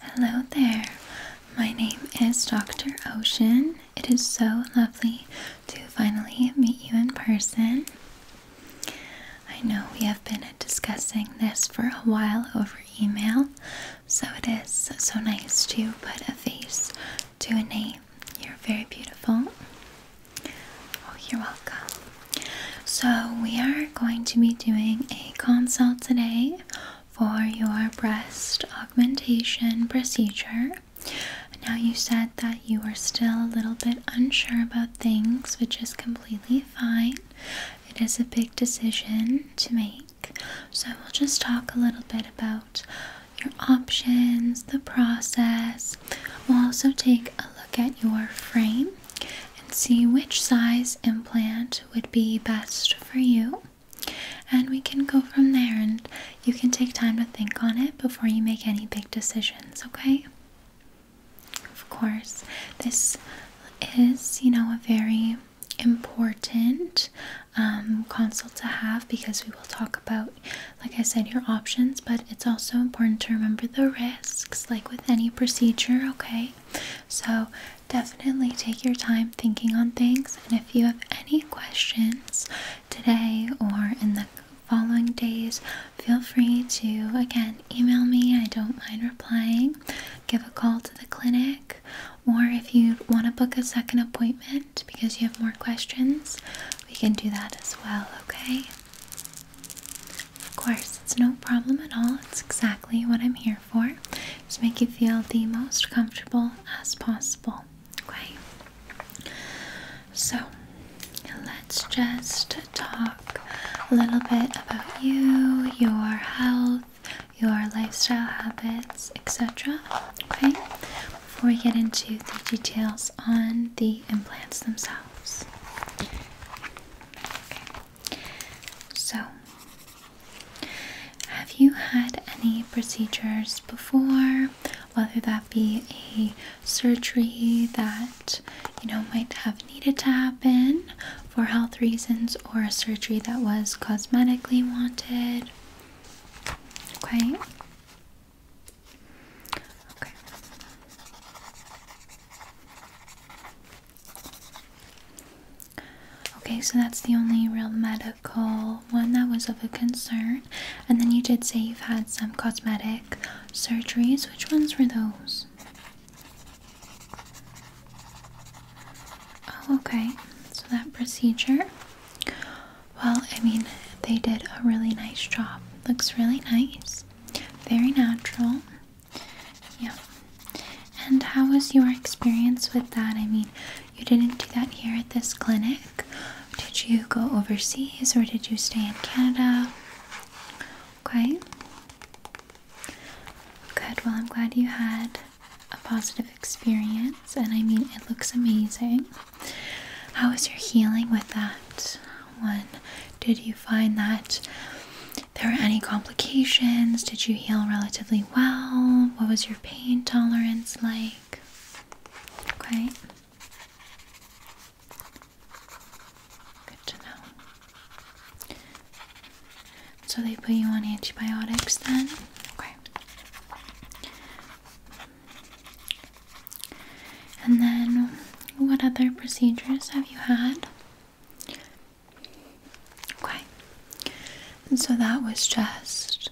Hello there, my name is Dr. Ocean. It is so lovely to finally meet you in person. I know we have been discussing this for a while over email, so it is so nice to put a face to a name. You're very beautiful. Oh, you're welcome. So, we are going to be doing a consult today for your breast augmentation procedure. Now, you said that you are still a little bit unsure about things, which is completely fine. It is a big decision to make. So, we'll just talk a little bit about your options, the process. We'll also take a look at your frame and see which size implant would be best for you. And we can go from there, and you can take time to think on it before you make any big decisions, okay? Of course, this is, you know, a very important um, consult to have because we will talk about, like I said, your options, but it's also important to remember the risks, like with any procedure, okay? So Definitely take your time thinking on things, and if you have any questions today or in the following days, feel free to again email me. I don't mind replying. Give a call to the clinic, or if you want to book a second appointment because you have more questions, we can do that as well, okay? Of course, it's no problem at all. It's exactly what I'm here for is make you feel the most comfortable as possible. Okay? So, let's just talk a little bit about you, your health, your lifestyle habits, etc. Okay? Before we get into the details on the implants themselves. So, have you had any procedures before? Whether that be a surgery that you know might have needed to happen for health reasons or a surgery that was cosmetically wanted. Okay. Okay. Okay, so that's the only real medical one that was of a concern. And then you did say you've had some cosmetic surgeries. Which ones were those? Oh, okay. So that procedure. Well, I mean, they did a really nice job. Looks really nice. Very natural. Yeah. And how was your experience with that? I mean, you didn't do that here at this clinic. Did you go overseas or did you stay in Canada? Okay. Good. Well, I'm glad you had a positive experience, and I mean, it looks amazing. How was your healing with that one? Did you find that there were any complications? Did you heal relatively well? What was your pain tolerance like? Okay. Good to know. So they put you on antibiotics then? Okay. And then, what other procedures have you had? Okay, and so that was just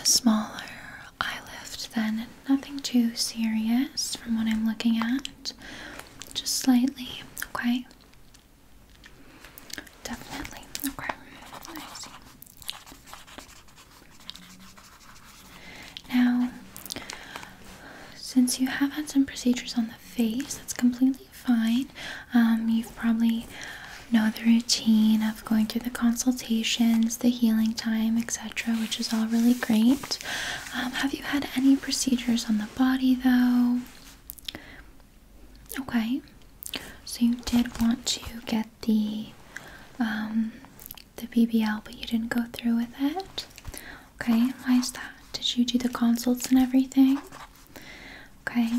a smaller eyelift, lift, then nothing too serious from what I'm looking at, just slightly. Okay, definitely. Okay, Now, since you have had some procedures on the face, that's completely fine. Um, you probably know the routine of going through the consultations, the healing time, etc., which is all really great. Um, have you had any procedures on the body though? Okay, so you did want to get the um, the BBL, but you didn't go through with it. Okay, why is that? Did you do the consults and everything? Okay,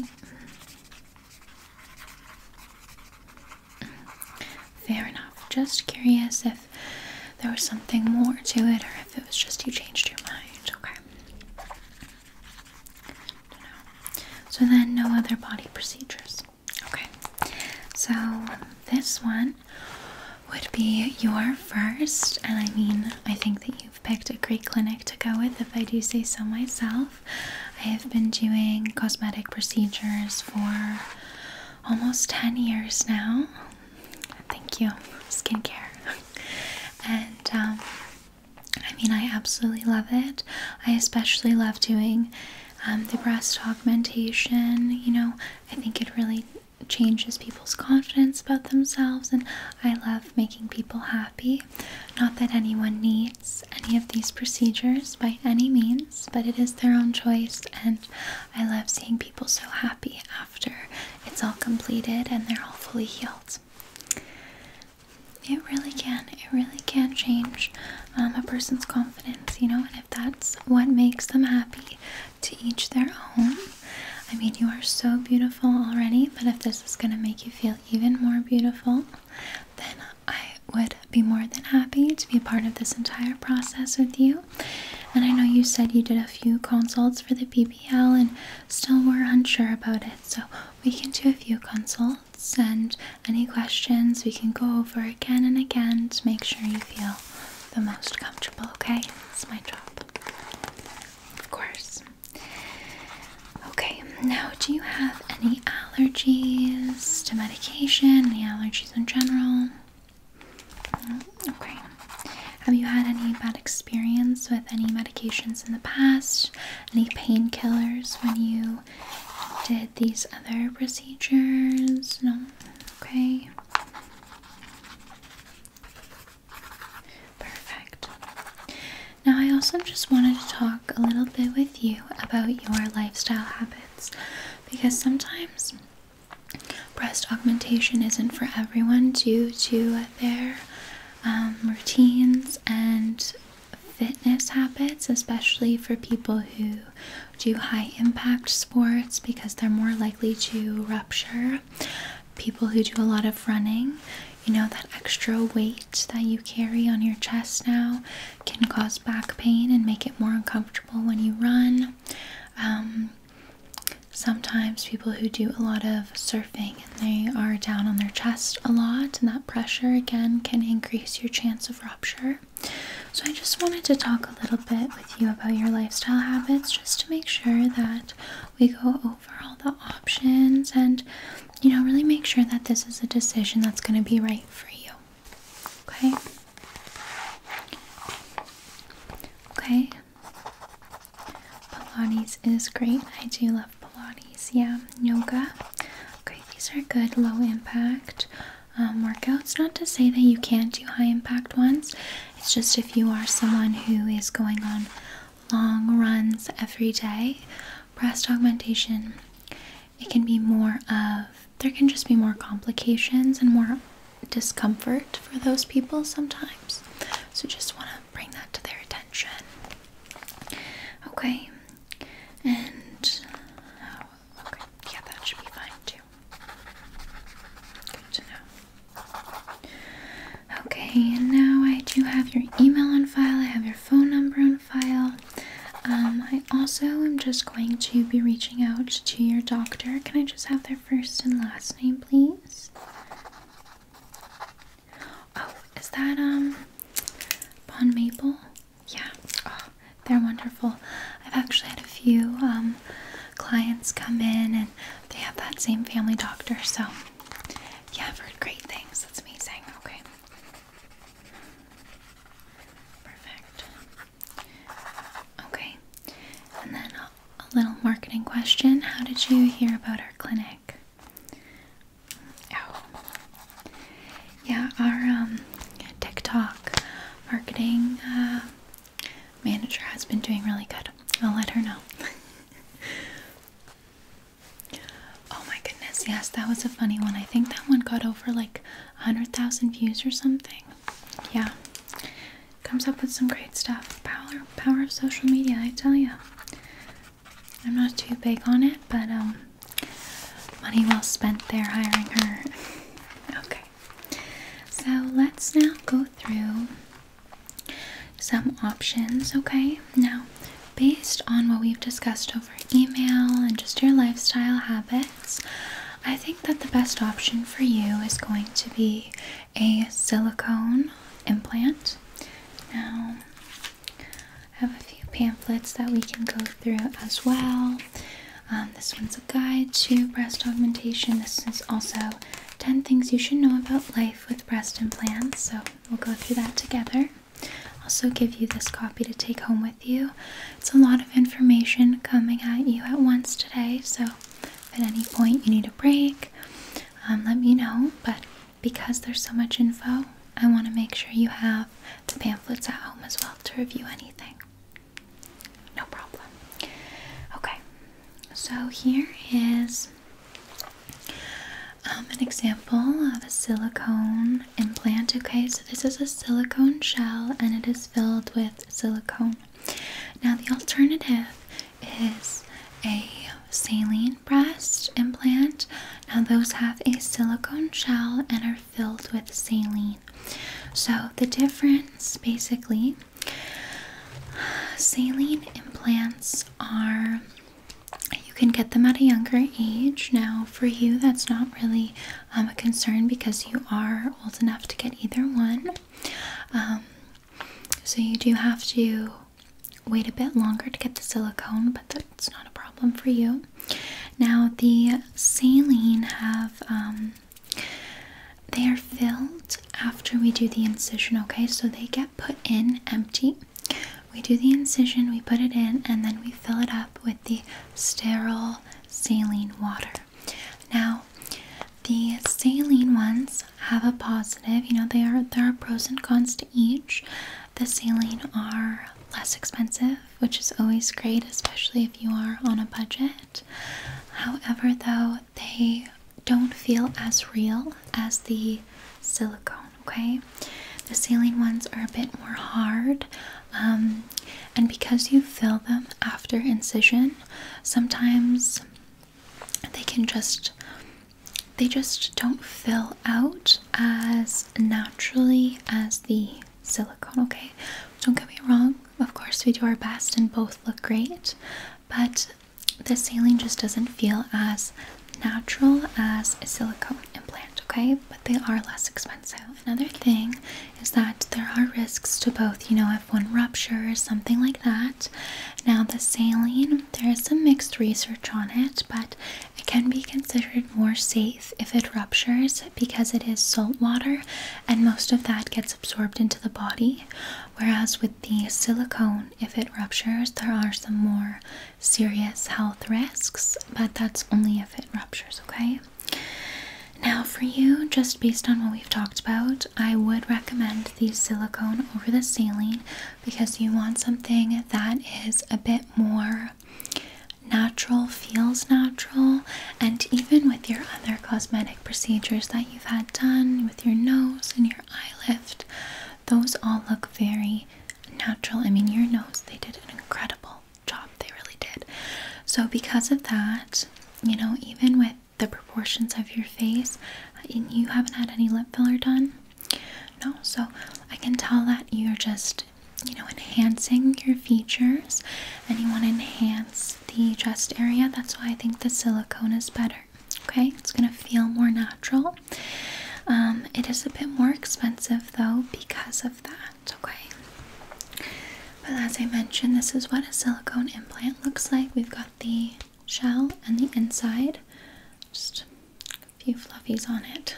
Fair enough. Just curious if there was something more to it or if it was just you changed your mind. Okay. So then, no other body procedures. Okay. So this one would be your first, and I mean, I think that you You've picked a great clinic to go with, if I do say so myself. I have been doing cosmetic procedures for almost 10 years now. Thank you, skincare. and um, I mean, I absolutely love it. I especially love doing um, the breast augmentation. You know, I think it really changes people's confidence about themselves, and I love making people happy. Not that anyone needs any of these procedures by any means, but it is their own choice, and I love seeing people so happy after it's all completed and they're all fully healed. It really can, it really can change um, a person's confidence, you know, and if that's what makes them happy, to each their own. I mean, you are so beautiful already, but if this is going to make you feel even more beautiful, then I would be more than happy to be a part of this entire process with you. And I know you said you did a few consults for the BBL and still were unsure about it, so we can do a few consults and any questions we can go over again and again to make sure you feel the most comfortable, okay? It's my job. Of course. Okay, now do you have any allergies to medication? Any allergies in general? Mm, okay. Have you had any bad experience with any medications in the past? Any painkillers when you did these other procedures? No? Okay. Perfect. Now, I also just wanted to talk a little bit with you about your lifestyle habits because sometimes breast augmentation isn't for everyone due to their um, routines and fitness habits, especially for people who do high impact sports because they're more likely to rupture. People who do a lot of running, you know, that extra weight that you carry on your chest now can cause back pain and make it more uncomfortable when you run. Um, sometimes people who do a lot of surfing and they are down on their chest a lot, and that pressure again can increase your chance of rupture. So, I just wanted to talk a little bit with you about your lifestyle habits just to make sure that we go over all the options and you know, really make sure that this is a decision that's going to be right for you. Okay? Okay. Pilates is great. I do love Pilates. Yeah, yoga. Okay, these are good low impact um, workouts. Not to say that you can't do high impact ones, it's just if you are someone who is going on long runs every day, breast augmentation, it can be more of, there can just be more complications and more discomfort for those people sometimes. So just want to bring that to their attention. Okay, and oh, okay, yeah, that should be fine too. Good to know. Okay, and now I do have your email on file. I have your phone number on file. Um, I also am just going to be reaching out to your doctor. Can I just have their first and last name, please? Oh, is that um Bond Maple? Yeah, oh, they're wonderful. I've actually had a few um, clients come in and they have that same family doctor, so yeah, I've heard great things. That's amazing. Okay. Perfect. Okay, and then a, little marketing question. How did you hear about our clinic? Oh, yeah, our um, TikTok marketing uh, manager has been doing really good. I'll let her know. Oh my goodness, yes, that was a funny one. I think that one got over like 100,000 views or something. Yeah. Comes up with some great stuff. Power power of social media, I tell you. I'm not too big on it, but um money well spent there hiring her. okay. So, let's now go through some options, okay? Now, based on what we've discussed over email and just your lifestyle habits, I think that the best option for you is going to be a silicone implant. Now, I have a few pamphlets that we can go through as well. Um, this one's a guide to breast augmentation. This is also 10 things you should know about life with breast implants. So we'll go through that together. Also, give you this copy to take home with you. It's a lot of information coming at you at once today, so at any point you need a break, um, let me know. But because there's so much info, I want to make sure you have the pamphlets at home as well to review anything. No problem. Okay, so here is um, an example of a silicone implant. Okay, so this is a silicone shell and it is filled with silicone. Now, the alternative is a saline breast implant. Now, those have a silicone shell and are filled with saline. So, the difference basically saline implants are you can get them at a younger age. Now, for you, that's not really um, a concern because you are old enough to get either one. Um, so, you do have to wait a bit longer to get the silicone, but that's not a problem for you. Now, the saline have. Um, they are filled after we do the incision, okay? So they get put in empty we do the incision, we put it in, and then we fill it up with the sterile saline water. Now, the saline ones have a positive. You know, they are there are pros and cons to each. The saline are less expensive, which is always great, especially if you are on a budget. However, though, they don't feel as real as the silicone okay? The saline ones are a bit more hard, um, and because you fill them after incision, sometimes they can just they just don't fill out as naturally as the silicone, okay? Don't get me wrong, of course we do our best and both look great, but the saline just doesn't feel as natural as a silicone implant, okay? But they are less expensive. Another thing is that there are risks to both, you know, if one ruptures, something like that. Now, the saline, there is some mixed research on it, but it can be considered more safe if it ruptures because it is salt water and most of that gets absorbed into the body. Whereas with the silicone, if it ruptures, there are some more serious health risks, but that's only if it ruptures, okay? Now, for you, just based on what we've talked about, I would recommend the silicone over the saline because you want something that is a bit more natural, feels natural, and even with your other cosmetic procedures that you've had done with your nose and your eye lift, those all look very natural. I mean, your nose, they did an incredible job. They really did. So, because of that, you know, even with the proportions of your face, and you haven't had any lip filler done. No, so I can tell that you're just, you know, enhancing your features and you want to enhance the chest area. That's why I think the silicone is better. Okay, it's gonna feel more natural. Um, it is a bit more expensive though because of that, okay? But as I mentioned, this is what a silicone implant looks like. We've got the shell and the inside, just a few fluffies on it.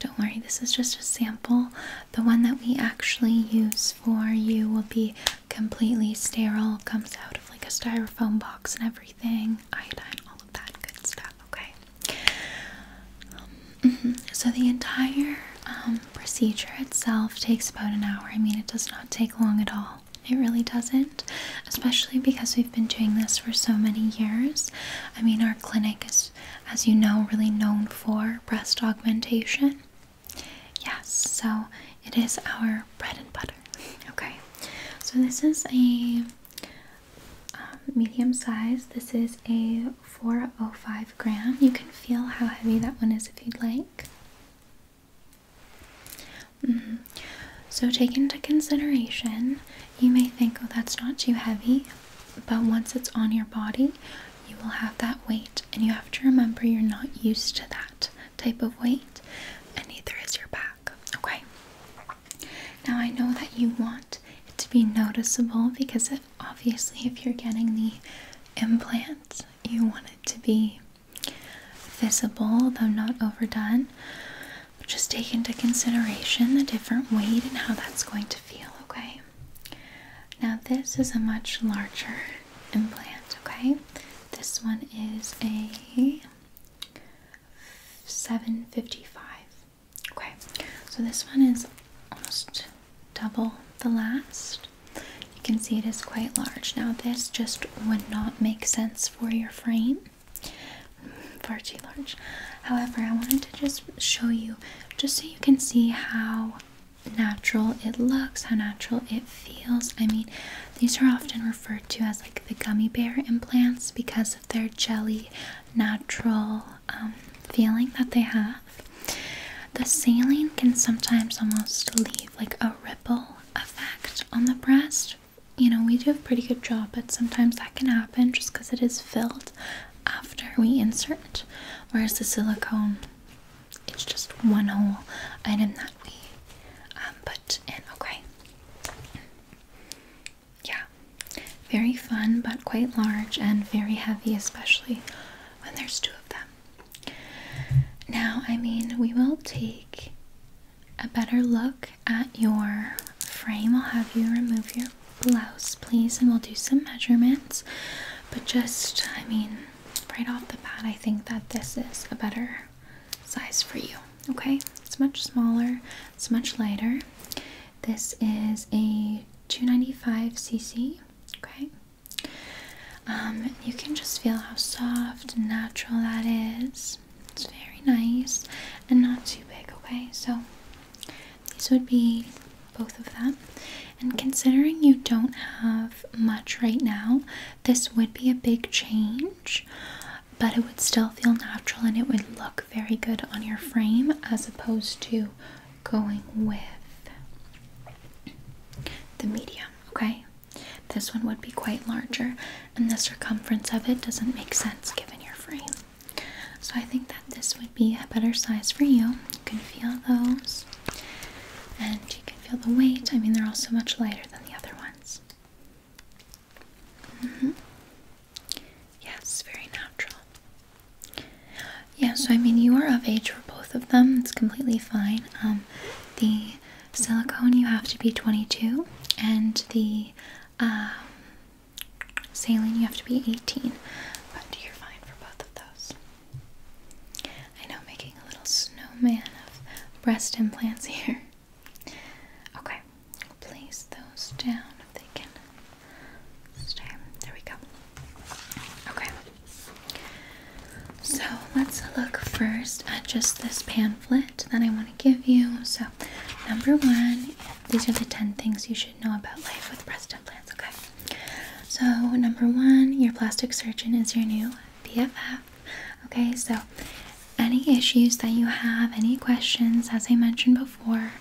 Don't worry, this is just a sample. The one that we actually use for you will be completely sterile, comes out of like a styrofoam box and everything, iodine, that good stuff, okay? Um, mm-hmm. So, the entire um, procedure itself takes about an hour. I mean, it does not take long at all. It really doesn't, especially because we've been doing this for so many years. I mean, our clinic is, as you know, really known for breast augmentation. Yes, so it is our bread and butter. Okay, so this is a um, medium size. This is a 405 gram. You can feel how heavy that one is if you'd like. Mm-hmm. So, take into consideration, you may think, oh, that's not too heavy, but once it's on your body, you will have that weight, and you have to remember you're not used to that type of weight, and neither is your back. Okay, now I know that you want it to be noticeable because obviously if you're getting the implant, you want it to be visible though not overdone. But just take into consideration the different weight and how that's going to feel, okay? Now this is a much larger implant, okay? This one is a 755 Okay, so this one is almost double the last. You can see it is quite large. Now, this just would not make sense for your frame, far too large. However, I wanted to just show you, just so you can see how natural it looks, how natural it feels. I mean, these are often referred to as like the gummy bear implants because of their jelly, natural um, feeling that they have, the saline can sometimes almost leave like a ripple effect on the breast. You know, we do a pretty good job, but sometimes that can happen just because it is filled after we insert, whereas the silicone, it's just one whole item that we um, put in. Okay yeah, very fun but quite large and very heavy, especially when there's two of them. Now, I mean, we will take a better look at your frame. I'll have you remove your blouse, please, and we'll do some measurements. But just, I mean, right off the bat, I think that this is a better size for you. Okay, it's much smaller, it's much lighter. This is a 295cc. Okay. Um, you can just feel how soft and natural that is. It's very nice and not too big, okay? So these would be both of them. And considering you don't have much right now, this would be a big change, but it would still feel natural and it would look very good on your frame as opposed to going with the medium, okay? This one would be quite larger, and the circumference of it doesn't make sense given your frame. So I think that this would be a better size for you. You can feel those, and you can feel the weight. I mean, they're also much lighter than the other ones. Mm-hmm. Yes, very natural. Yeah, so I mean, you are of age for both of them. It's completely fine. Um, the silicone, you have to be 22, and the um, saline, you have to be 18. But you're fine for both of those. I know, making a little snowman of breast implants here. Okay, place those down if they can this there we go. Okay. So let's look first at just this pamphlet that I want to give you. So, number one, these are the 10 things you should know about life with breast implants. Okay. So, number one, your plastic surgeon is your new BFF. Okay, so any issues that you have, any questions, as I mentioned before,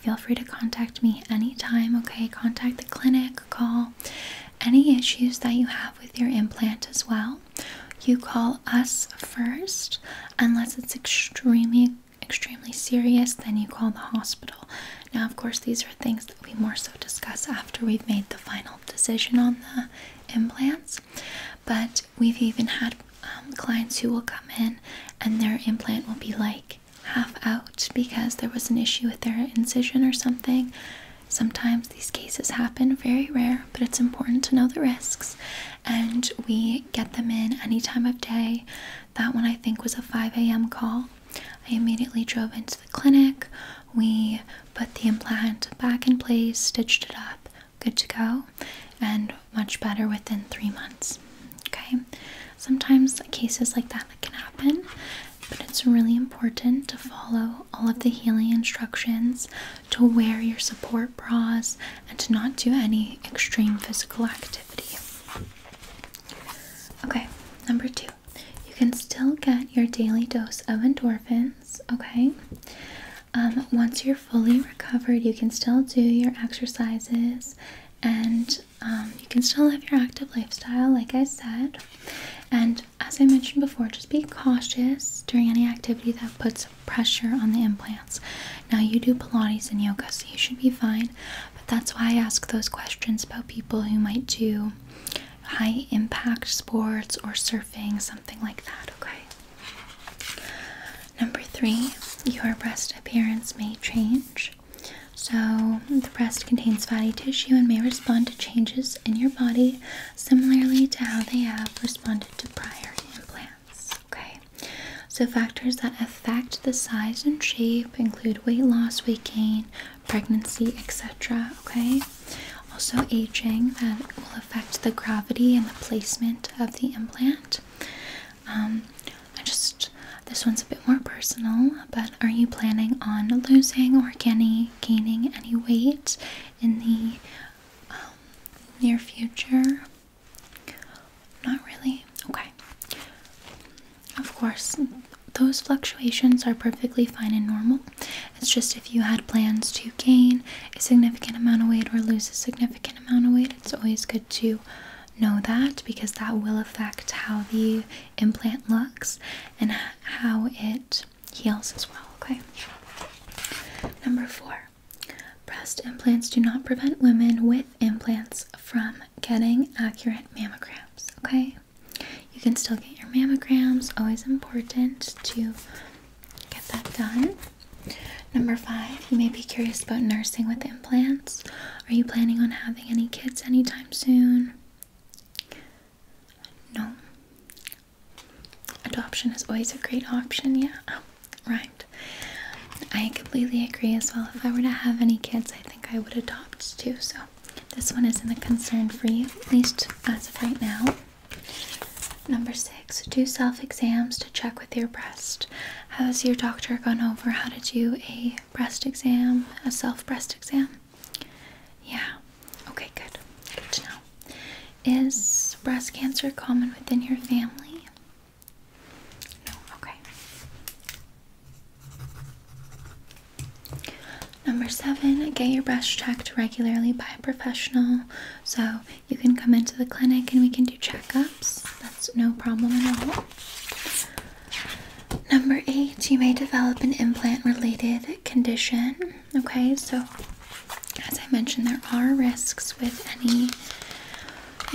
feel free to contact me anytime, okay? Contact the clinic, call any issues that you have with your implant as well. You call us first, unless it's extremely, extremely serious, then you call the hospital. Now, of course, these are things that we more so discuss after we've made the final decision on the implants, but we've even had um, clients who will come in and their implant will be like half out because there was an issue with their incision or something. Sometimes these cases happen, very rare, but it's important to know the risks. And we get them in any time of day. That one I think was a 5 a.m. call. I immediately drove into the clinic. We put the implant back in place, stitched it up, good to go, and much better within three months. Okay, sometimes cases like that can happen, but it's really important to follow all of the healing instructions, to wear your support bras, and to not do any extreme physical activity. Okay, number two, you can still get your daily dose of endorphins. Okay, um, once you're fully recovered, you can still do your exercises and um, you can still have your active lifestyle, like I said. And as I mentioned before, just be cautious during any activity that puts pressure on the implants. Now, you do Pilates and yoga, so you should be fine, but that's why I ask those questions about people who might do high impact sports or surfing, something like that, okay? Number three, your breast appearance may change. So, the breast contains fatty tissue and may respond to changes in your body similarly to how they have responded to prior implants. Okay, so factors that affect the size and shape include weight loss, weight gain, pregnancy, etc. Okay, also aging that will affect the gravity and the placement of the implant. Um, I just this one's a bit more personal, but are you planning on losing or gaining gaining any weight in the um, near future? Not really. Okay. Of course, those fluctuations are perfectly fine and normal. It's just if you had plans to gain a significant amount of weight or lose a significant amount of weight, it's always good to know that because that will affect how the implant looks and how it heals as well. Okay. Number four. Breast implants do not prevent women with implants from getting accurate mammograms, okay? You can still get your mammograms, always important to get that done. Number five, you may be curious about nursing with Plants? Are you planning on having any kids anytime soon? No. Adoption is always a great option, yeah. Oh, right. I completely agree as well. If I were to have any kids, I think I would adopt too. So this one isn't a concern for you, at least as of right now. Number six, do self exams to check with your breast. Has your doctor gone over how to do a breast exam, a self breast exam? Yeah. Okay, good. Good to know. Is breast cancer common within your family? No. Okay. Number seven, get your breast checked regularly by a professional. So you can come into the clinic and we can do checkups. That's no problem at all. Number eight, you may develop an implant related condition. Okay, so as I mentioned, there are risks with any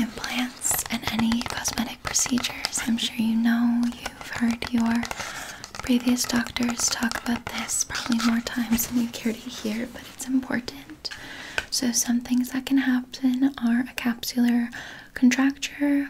implants and any cosmetic procedures. I'm sure you know you've heard your previous doctors talk about this probably more times than you care to hear, but it's important. So, some things that can happen are a capsular contracture,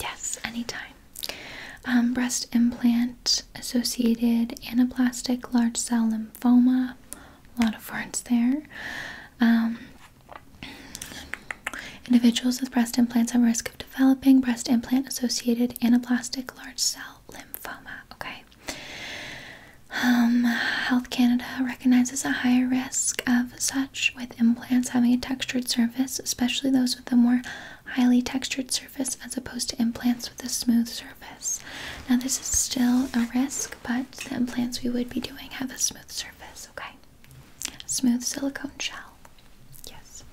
Yes, anytime. Um, breast implant associated anaplastic large cell lymphoma. A lot of words there. Um, individuals with breast implants have risk of developing breast implant associated anaplastic large cell lymphoma. Okay. Um, Health Canada recognizes a higher risk of such with implants having a textured surface, especially those with a more highly textured surface as opposed to implants with a smooth surface. Now, this is still a risk, but the implants we would be doing have a smooth surface, okay? smooth silicone shell. Yes.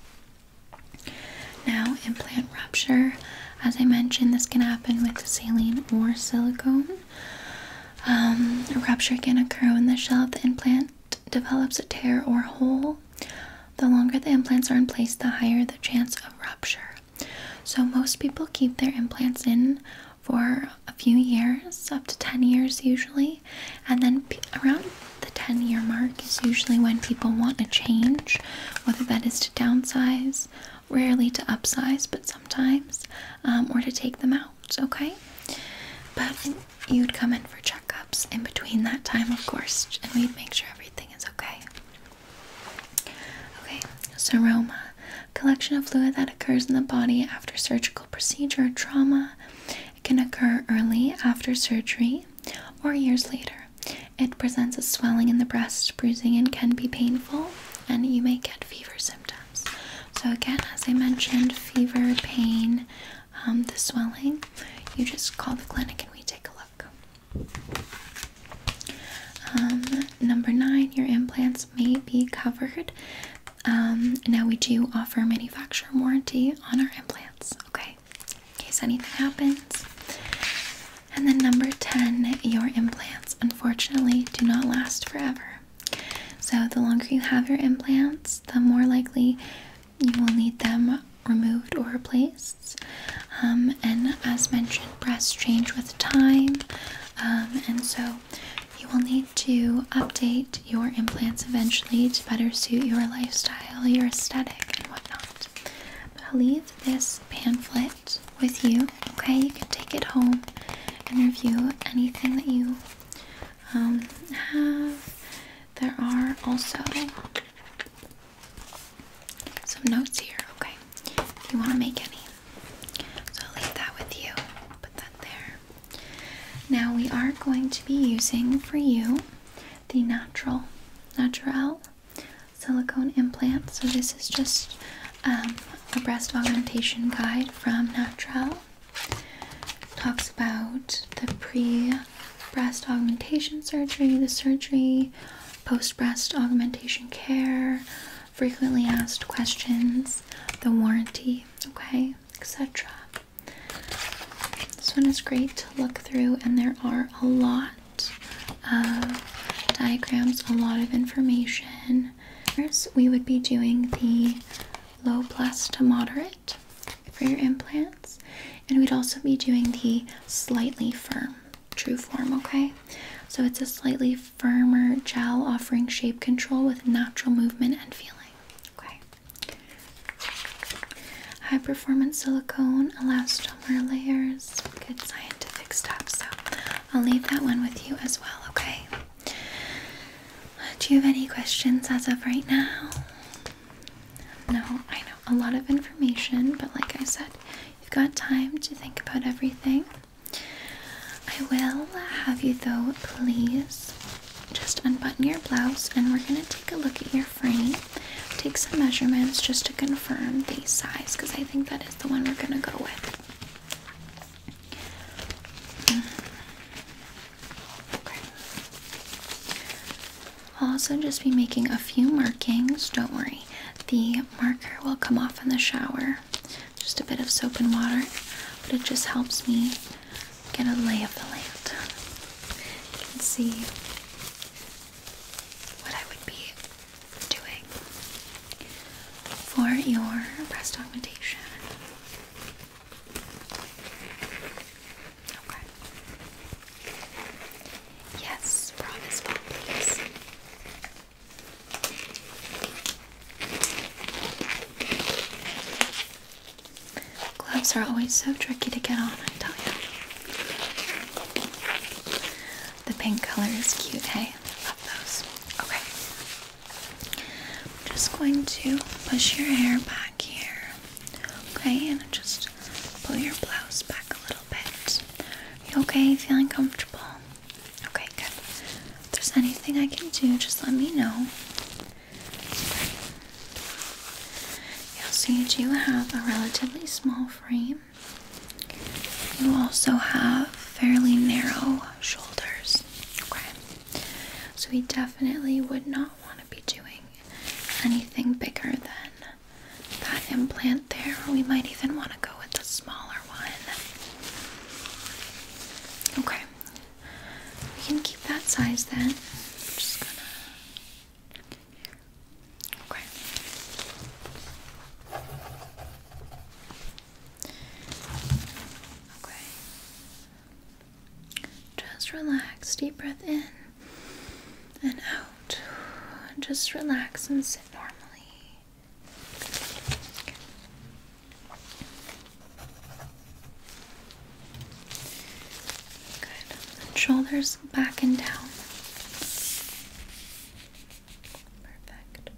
Now, implant rupture. As I mentioned, this can happen with saline or silicone. Um, a rupture can occur in the shell of the implant, develops a tear or hole, the longer the implants are in place, the higher the chance of rupture. So, most people keep their implants in for a few years, up to 10 years usually, and then around the 10 year mark is usually when people want to change, whether that is to downsize, rarely to upsize, but sometimes, um, or to take them out, okay? But you'd come in for checkups in between that time, of course, and we'd make sure everything is okay. Okay, so, seroma. Collection of fluid that occurs in the body after surgical procedure or trauma. It can occur early after surgery or years later. It presents as swelling in the breast, bruising, and can be painful, and you may get fever symptoms. So, again, as I mentioned, fever, pain, um, the swelling, you just call the clinic and we take a look. Um, number nine, your implants may be covered. Um, now we do offer manufacturer warranty on our implants, okay? In case anything happens. And then number 10, your implants unfortunately do not last forever. So, the longer you have your implants, the more likely you will need them removed or replaced. Um, and as mentioned, breasts change with time, um, and so you will need to update your implants eventually to better suit your lifestyle, your aesthetic, and whatnot. I'll leave this pamphlet with you, okay? You can take it home and review anything that you um, There are also some notes here, okay? If you want to make any. So leave that with you. Put that there. Now we are going to be using for you the natural, natural silicone implant. So this is just um, a breast augmentation guide from Natural. Talks about the pre breast augmentation surgery, the surgery, post breast augmentation care, frequently asked questions, the warranty, okay, etc. This one is great to look through, and there are a lot of diagrams, a lot of information. First, we would be doing the low plus to moderate for your implants. And we'd also be doing the slightly firm true form, okay? So it's a slightly firmer gel offering shape control with natural movement and feeling. Okay. High performance silicone, elastomer layers, good scientific stuff. So I'll leave that one with you as well, okay? Do you have any questions as of right now? No, I know a lot of information, but like I said, you've got time to think about everything. I will have you though, please just unbutton your blouse and we're gonna take a look at your frame, take some measurements just to confirm the size because I think that is the one we're gonna go with. I'll also just be making a few markings. Don't worry, the marker will come off in the shower. Just a bit of soap and water, but it just helps me get a lay of the land. You can see what I would be doing for your breast augmentation. Okay. Yes, brown this well, please. Gloves are always so tricky to get on, I tell you. The pink color is cute, hey? I Love those. Okay. I'm just going to push your hair back here. Okay, and just pull your blouse back a little bit. You okay? Feeling comfortable? Okay, good. If there's anything I can do, just let me know. Yeah, so you do have a relatively small frame. You also have fairly narrow shoulders. Okay. So we definitely would not want be doing anything bigger than that implant there. We might even want to go with the smaller one. Okay, we can keep that size then. Okay. Okay. Just relax. Deep breath in and out. Just relax and sit normally. Good. And shoulders back and down. Perfect.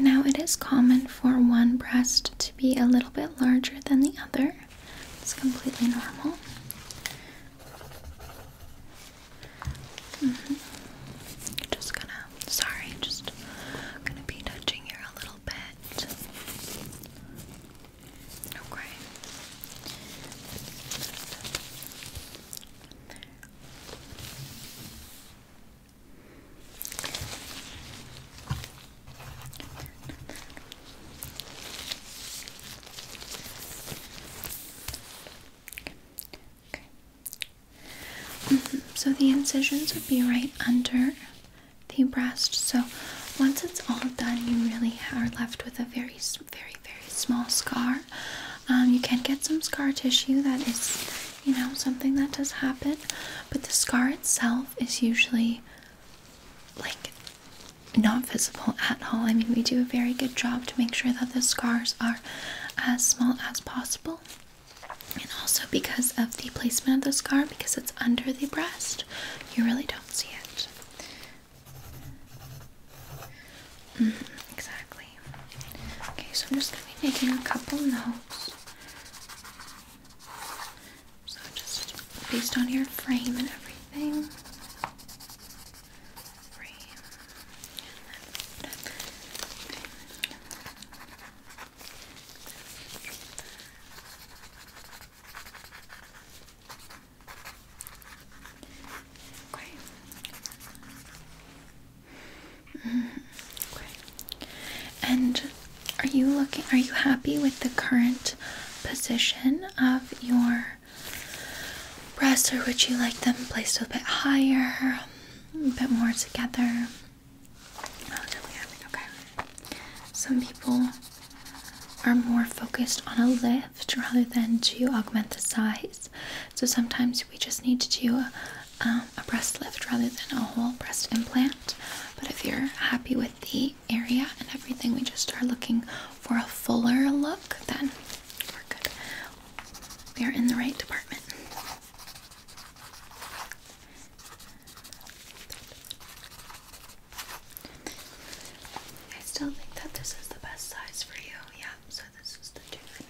Now, it is common for one breast to be a little bit larger than the other, it's completely normal. Mm-hmm. Just gonna, sorry, just gonna be touching here a little bit. Okay. There Mm-hmm. So the incisions would be right under the breast. So once it's all done, you really are left with a very small very very small scar. Um, you can get some scar tissue. That is, you know, something that does happen. But the scar itself is usually like not visible at all. I mean, we do a very good job to make sure that the scars are as small as possible. And also because of the placement of the scar, because it's under the breast, you really don't see it. Mm, exactly. Okay, so I'm just going to be making a couple notes. So, just based on your frame and everything. Frame. Okay. Mm-hmm. And are you looking? Are you happy with the current position of your breasts, or would you like them placed a bit higher, a bit more together? Oh, Some people are more focused on a lift rather than to augment the size. So sometimes we just need to do um, a breast lift rather than a whole breast implant. But if you're happy with the area and everything, we just are looking for a fuller look, then we're good. We are in the right department. I still think that this is the best size for you. Yeah, so this is the two.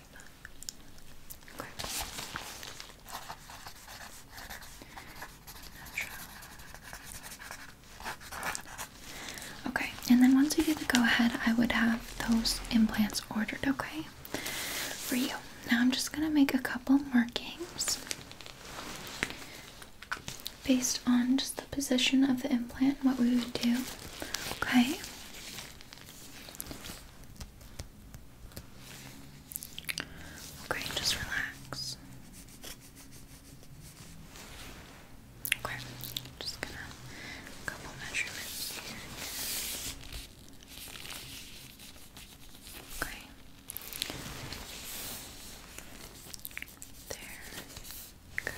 Okay. and then once we do the go ahead, I would have those implants ordered, okay? For you. Now I'm just gonna make a couple markings based on just the position of the implant, what we would do, okay? Okay, just relax. Okay, just gonna couple measurements Okay. There. Good.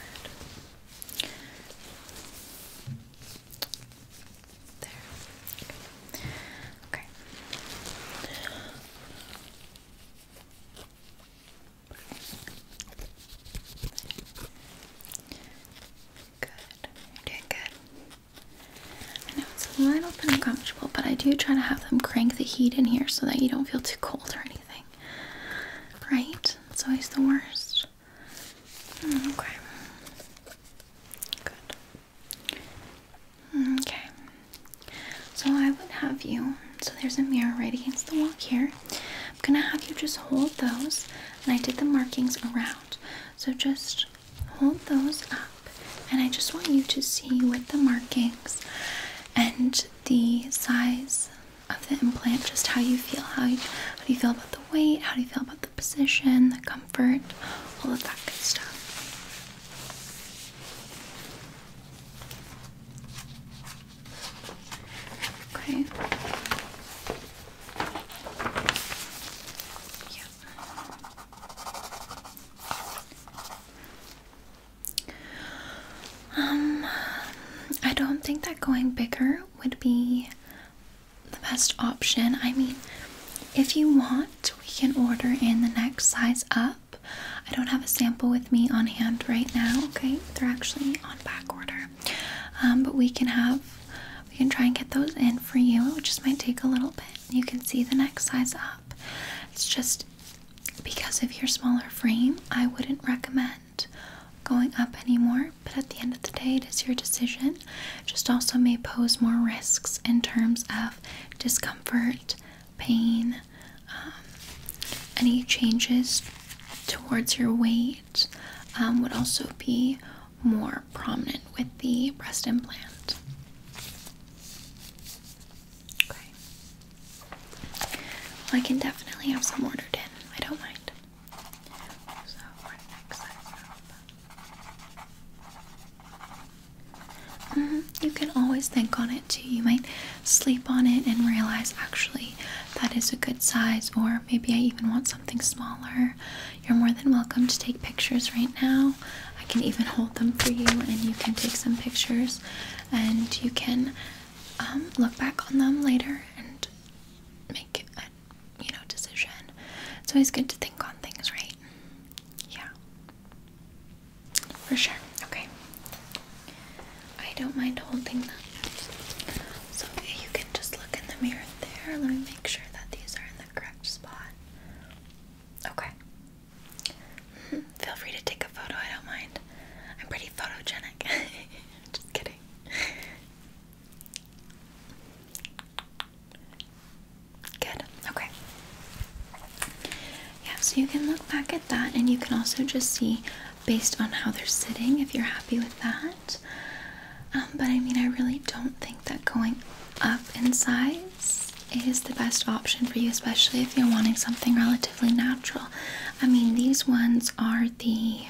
There. Okay. Good. You're doing good. I know it's a little bit uncomfortable, but I do try to have them crank the heat in here so that you don't feel too cold or anything. Right? It's always the worst. Mm, okay. Good. Mm, okay. So I would have you, so there's a mirror right against the wall here. I'm gonna have you just hold those, and I did the markings around. So just hold those up, and I just want you to see with the markings and the size of the implant just how you feel. how do you feel about the weight? How do you feel about the position, the comfort, all of that good stuff. Okay. Yep. Um, I don't think that going bigger would be the best option. I mean, if you want, we can order in the next size up. I don't have a sample with me on hand right now. Okay, they're actually on back order, um, but we can have we can try and get those in for you. It just might take a little bit. You can see the next size up. It's just because of your smaller frame, I wouldn't recommend going up anymore but at the end of the day, it is your decision. Just also may pose more risks in terms of discomfort, pain, um, any changes towards your weight um, would also be more prominent with the breast implant. Okay. Well, I can definitely have some ordered in. I don't mind. Mm-hmm, you can always think on it too. You might sleep on it and realize actually that is a good size, or maybe I even want something smaller. You're more than welcome to take pictures right now. I can even hold them for you, and you can take some pictures, and you can um, look back on them later and make a you know, decision. It's always good to think on things, right? Yeah. For sure. Okay. I don't mind holding them. So you can just look in the mirror there. Let me make sure that these are in the correct spot. Okay. Mm-hmm. Feel free to take a photo, I don't mind. I'm pretty photogenic. just kidding. Good. Okay. Yeah, so you can look back at that and you can also just see based on how they're sitting if you're happy with that. Um, but I mean, I really don't think that going up in size is the best option for you, especially if you're wanting something relatively natural. I mean, these ones are the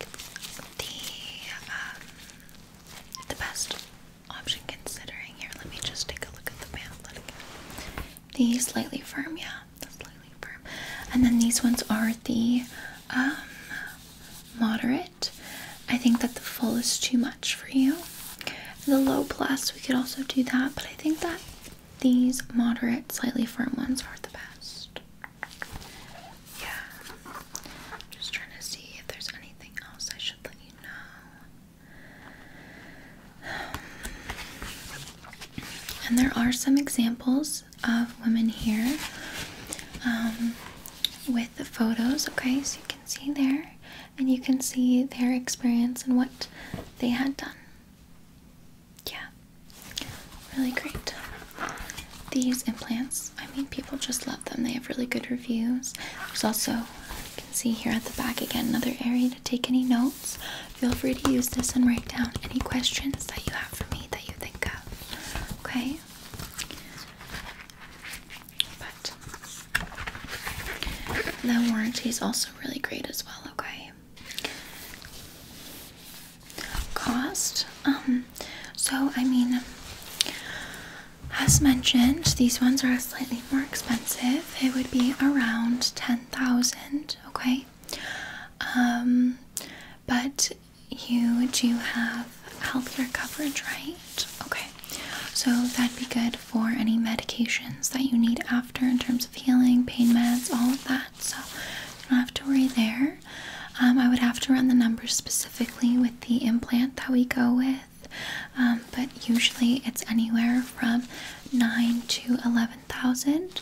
like the um, the best option considering here. Let me just take a look at the pamphlet again. These slightly firm, yeah, slightly firm. And then these ones are the um, moderate. I think that the full is too much for you. The low plus, we could also do that, but I think that these moderate, slightly firm ones are the best. Yeah. Just trying to see if there's anything else I should let you know. and there are some examples of women here um, with the photos, okay? So you can see there and you can see their experience and what they had done. Yeah. Really great. These implants, I mean, people just love them. They have really good reviews. There's also, you can see here at the back again, another area to take any notes. Feel free to use this and write down any questions that you have for me that you think of. Okay? But the warranty is also really great as well, okay? cost. Um, so I mean, as mentioned, these ones are slightly more expensive. It would be around ten thousand. Okay. Um, but you do have healthcare coverage, right? Okay. So that'd be good for any medications that you need after in terms of healing, pain meds, all of that. So you don't have to worry there. Um, I would have to run the numbers specifically with the implant that we go with, um, but usually it's anywhere from nine to eleven thousand.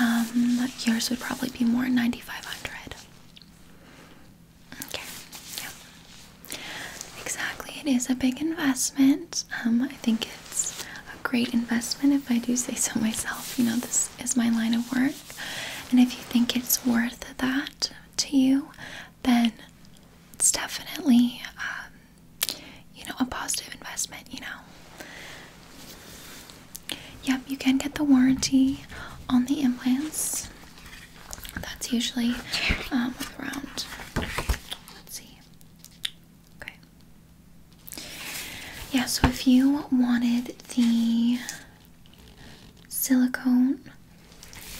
Um, yours would probably be more ninety five hundred. Okay, yeah, exactly. It is a big investment. Um, I think it's a great investment if I do say so myself. You know, this is my line of work. And if you think it's worth that to you, then it's definitely, um, you know, a positive investment, you know. Yep, you can get the warranty on the implants. That's usually um, around, let's see. Okay. Yeah, so if you wanted the silicone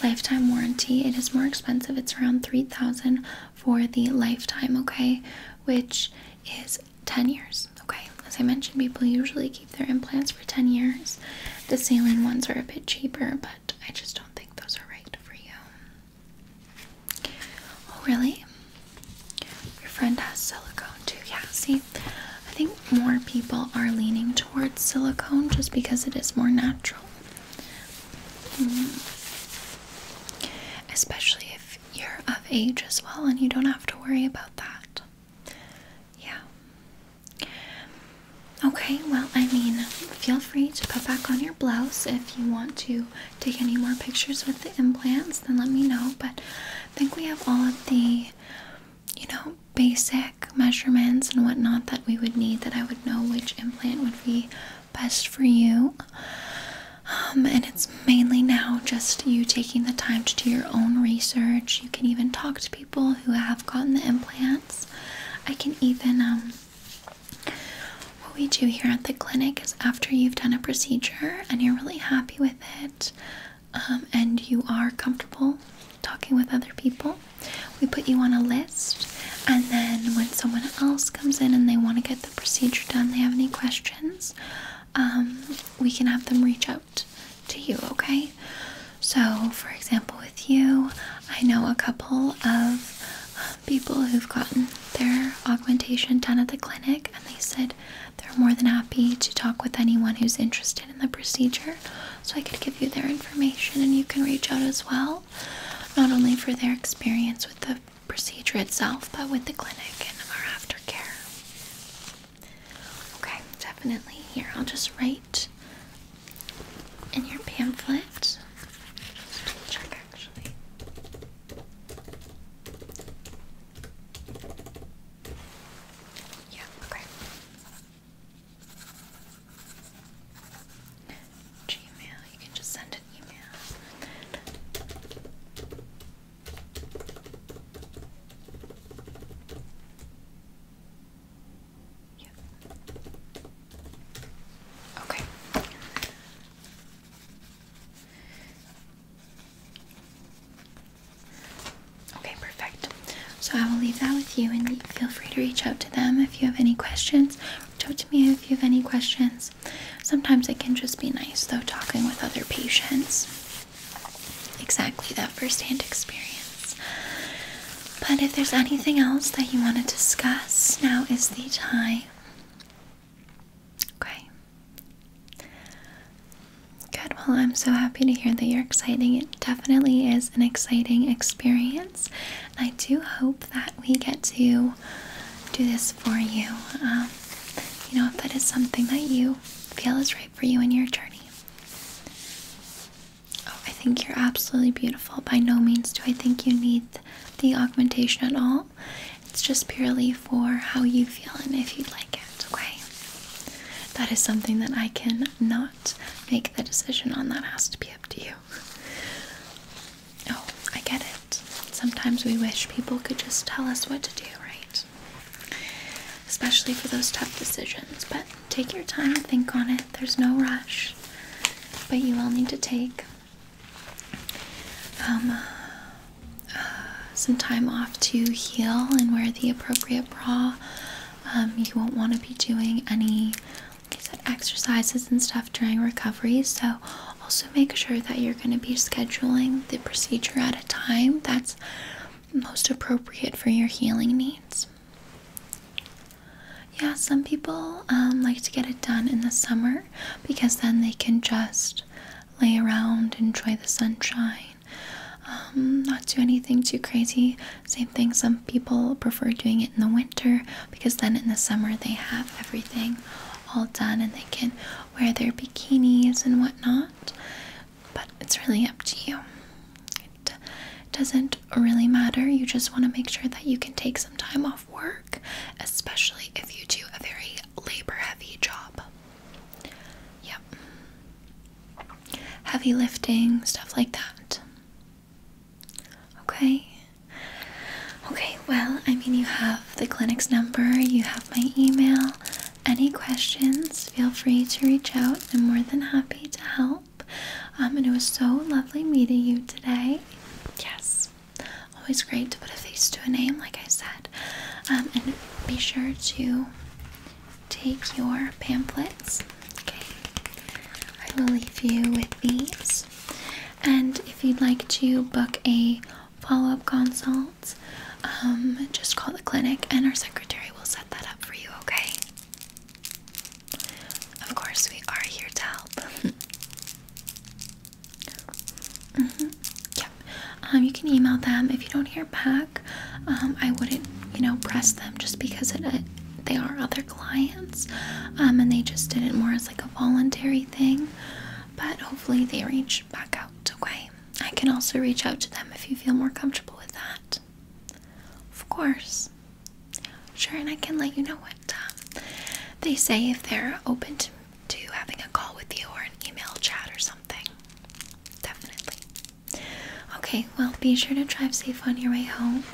lifetime warranty it is more expensive it's around 3000 for the lifetime okay which is 10 years okay as i mentioned people usually keep their implants for 10 years the saline ones are a bit cheaper but i just don't think those are right for you oh really your friend has silicone too yeah see I think more people are leaning towards silicone just because it is more natural. Mm. Especially if you're of age as well and you don't have to worry about that. Yeah. Okay, well, I mean, feel free to put back on your blouse if you want to take any more pictures with the implants, then let me know. But I think we have all of the, you know, basic measurements and whatnot that we would need that I would know which implant would be best for you. Um, and it's mainly now just you taking the time to do your own research. You can even talk to people who have gotten the implants. I can even, um, what we do here at the clinic is after you've done a procedure and you're really happy with it, um, and you are comfortable talking with other people, we put you on a list. And then when someone else comes in and they want to get the procedure done, they have any questions, um, we can have them reach out to you, okay? So, for example, with you, I know a couple of um, people who've gotten their augmentation done at the clinic, and they said they're more than happy to talk with anyone who's interested in the procedure, so I could give you their information and you can reach out as well, not only for their experience with the procedure itself, but with the clinic and our aftercare. Okay, definitely here. I'll just write in your pamphlet. Let's check actually. Yeah, okay. Gmail, you can just send an email. Yep. Okay. Okay, perfect. So I will leave that with you and feel free to reach out to them if you have any questions. Reach out to me if you have any questions. Sometimes it can just be nice though talking with other patients. Exactly that first-hand experience. But if there's anything else that you want to discuss, now is the time. Okay. Good. Well, I'm so happy to hear that you're exciting. It definitely is an exciting experience. I do hope that we get to do this for you. Um, you know, if that is something that you feel is right for you in your journey. Oh, I think you're absolutely beautiful. By no means do I think you need the augmentation at all. It's just purely for how you feel and if you'd like it, okay? That is something that I can not make the decision on that. has to be up to you. Oh, I get it. Sometimes we wish people could just tell us what to do, right? Especially for those tough decisions. But take your time and think on it. There's no rush. But you will need to take um, uh, uh, some time off to heal and wear the appropriate bra you um, won't want to be doing any, like I said, exercises and stuff during recovery. So also make sure that you're going to be scheduling the procedure at a time that's most appropriate for your healing needs. Yeah, some people um, like to get it done in the summer because then they can just lay around, enjoy the sunshine, um, not do anything too crazy. Same thing, some people prefer doing it in the winter because then in the summer they have everything all done and they can wear their bikinis and whatnot. But it's really up to you. It doesn't really matter. You just want to make sure that you can take some time off work, especially if you do a very labor heavy job. Yep heavy lifting, stuff like that. Okay. Okay, well, I mean, you have the clinic's number, you have my email. Any questions, feel free to reach out. I'm more than happy to help. Um, and it was so lovely meeting you today. Yes, always great to put a face to a name, like I said. Um, and be sure to take your pamphlets. Okay, I will leave you with these. And if you'd like to book a follow up consult, um, just call the clinic and our secretary will set that up for you, okay? Of course, we are here to help. Mm-hmm. Yep. Um, you can email them if you don't hear back. Um, I wouldn't, you know, press them just because they are other clients um, and they just did it more as like a voluntary thing. But hopefully they reach back out, okay? I can also reach out to them if you feel more comfortable with that. Of course. Sure, and I can let you know what um, they say if they're open to, to having a call with you or an email chat or something. Definitely. Okay, well, be sure to drive safe on your way home.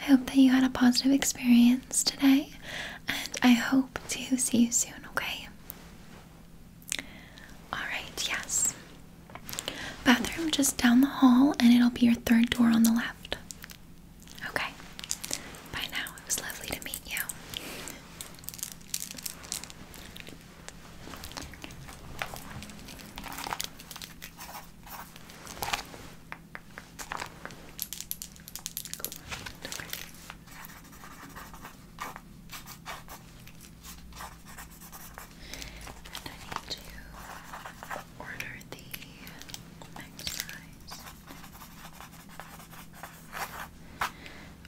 I hope that you had a positive experience today, and I hope to see you soon, okay? Alright, yes. Bathroom just down the hall, and it'll be your third door on the left. Okay. Bye now. It was lovely to meet you. And I need to order the exercise.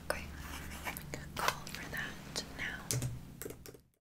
Okay, I'm going to call for that now.